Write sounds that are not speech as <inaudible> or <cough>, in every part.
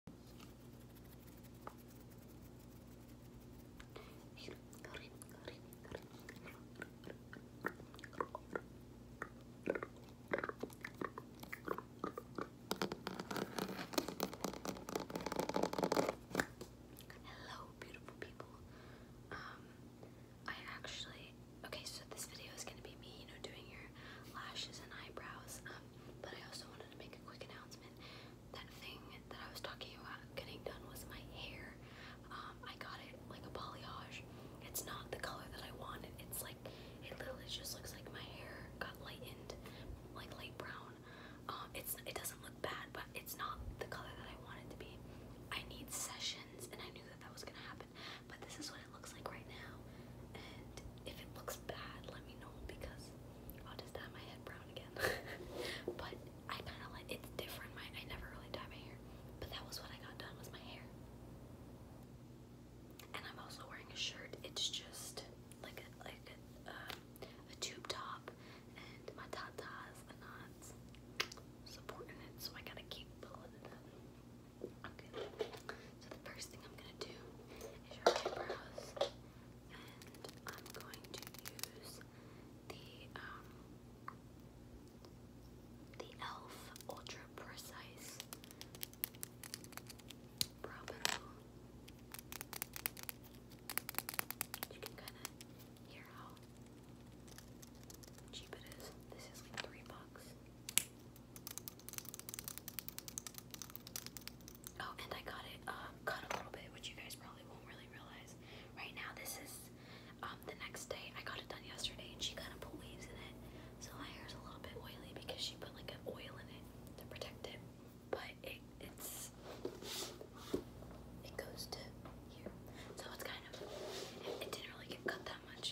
Hello, beautiful people. Um, I actually okay, so this video is gonna be me, you know, doing your lashes and eyebrows. Um, but I also wanted to make a quick announcement. That thing that I was talking about getting done was my hair. Um, I got it like a balayage. It's not the color that I wanted. It's like it literally just looks like my hair got lightened, like light brown. Um, it's it doesn't look bad, but it's not the color that I wanted to be. I need sessions, and I knew that that was gonna happen. But this is what it looks like right now. And if it looks bad, let me know because I'll just dye my head brown again. <laughs> but I kind of like it's different. My I never really dye my hair, but that was what I got done was my hair. And I'm also wearing a shirt. It's just like a like a, um, a tube top, and my tatas are not supporting it, so I gotta keep pulling it so the first thing I'm gonna do is your eyebrows, and I'm going to use the um, the Elf Ultra Precise Brow Pencil. You can kind of hear how cheap it is. This is like three bucks. Oh, and I got it um, cut a little bit, which you guys probably won't really realize. Right now, this is um, the next day. I got it done yesterday, and she kind of put waves in it, so my hair's a little bit oily because she put like an oil in it to protect it. But it it's it goes to here, so it's kind of it, it didn't really get cut that much.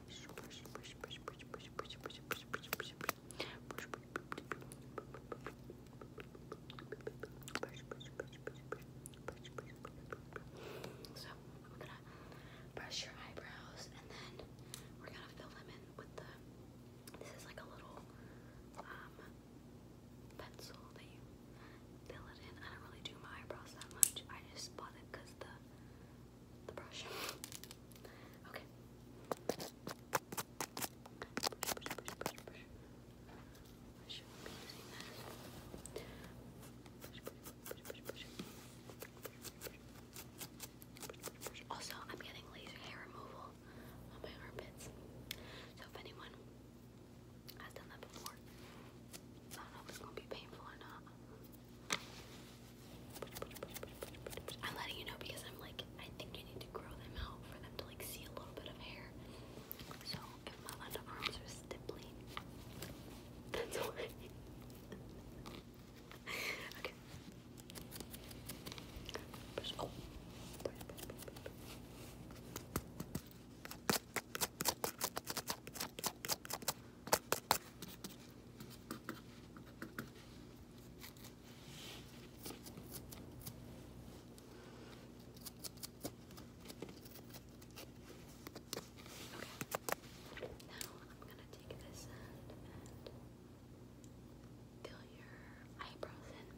So we're gonna brush your eyebrows and then we're gonna fill them in with the this is like a little um pencil that you fill it in. I don't really do my eyebrows that much. I just bought it the the Also, I'm getting laser hair removal on my armpits. So if anyone has done that before, I don't know if it's gonna be painful or not. I'm letting you know because I'm like, I think you need to grow them out for them to like see a little bit of hair. So if my underarms are stippling, <laughs> that's why. <laughs> okay. I'm gonna take this end and fill your eyebrows in.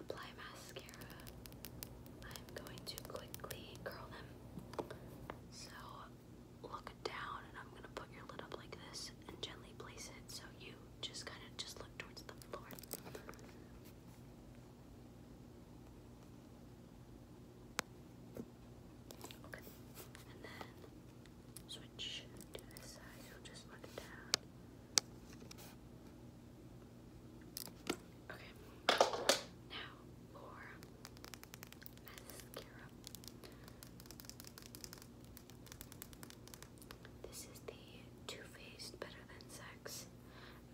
apply mascara. I'm going to quickly curl them. So look down and I'm gonna put your lid up like this and gently place it so you just kind of just look towards the floor. Okay, and then switch to this side, so just look down. Okay. Now for mascara. This is the Too Faced Better Than Sex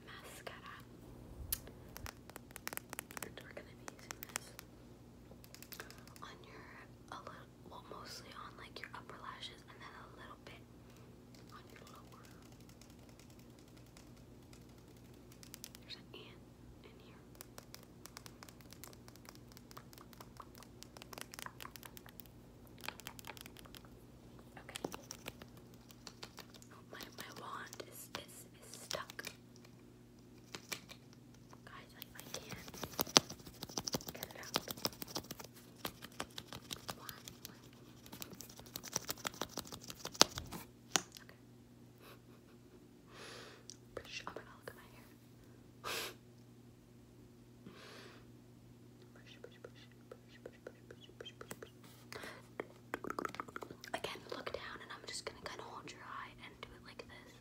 mascara. And we're gonna be using this on your a little well mostly on like your upper lashes and then a little bit on your There's an ant in here. Okay. Oh, my my wand is is stuck. Guys, I I can Okay. Sure. Oh my god, look at my hair. Brush, brush, Again, look down and I'm just gonna kinda hold your eye and do it like this.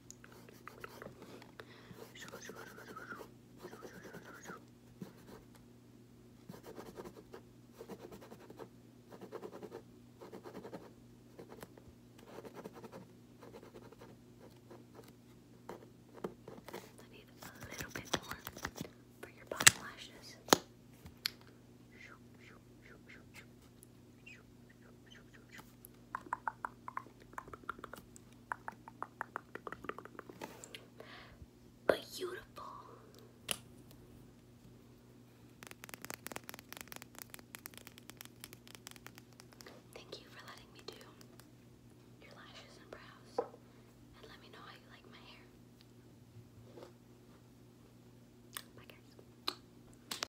I need a little bit more for your bottom lashes. Shoop, shoop, shoop, shoop, shoop. Beautiful. Thank you for letting me do your lashes and brows. And let me know how you like my hair. Bye, guys.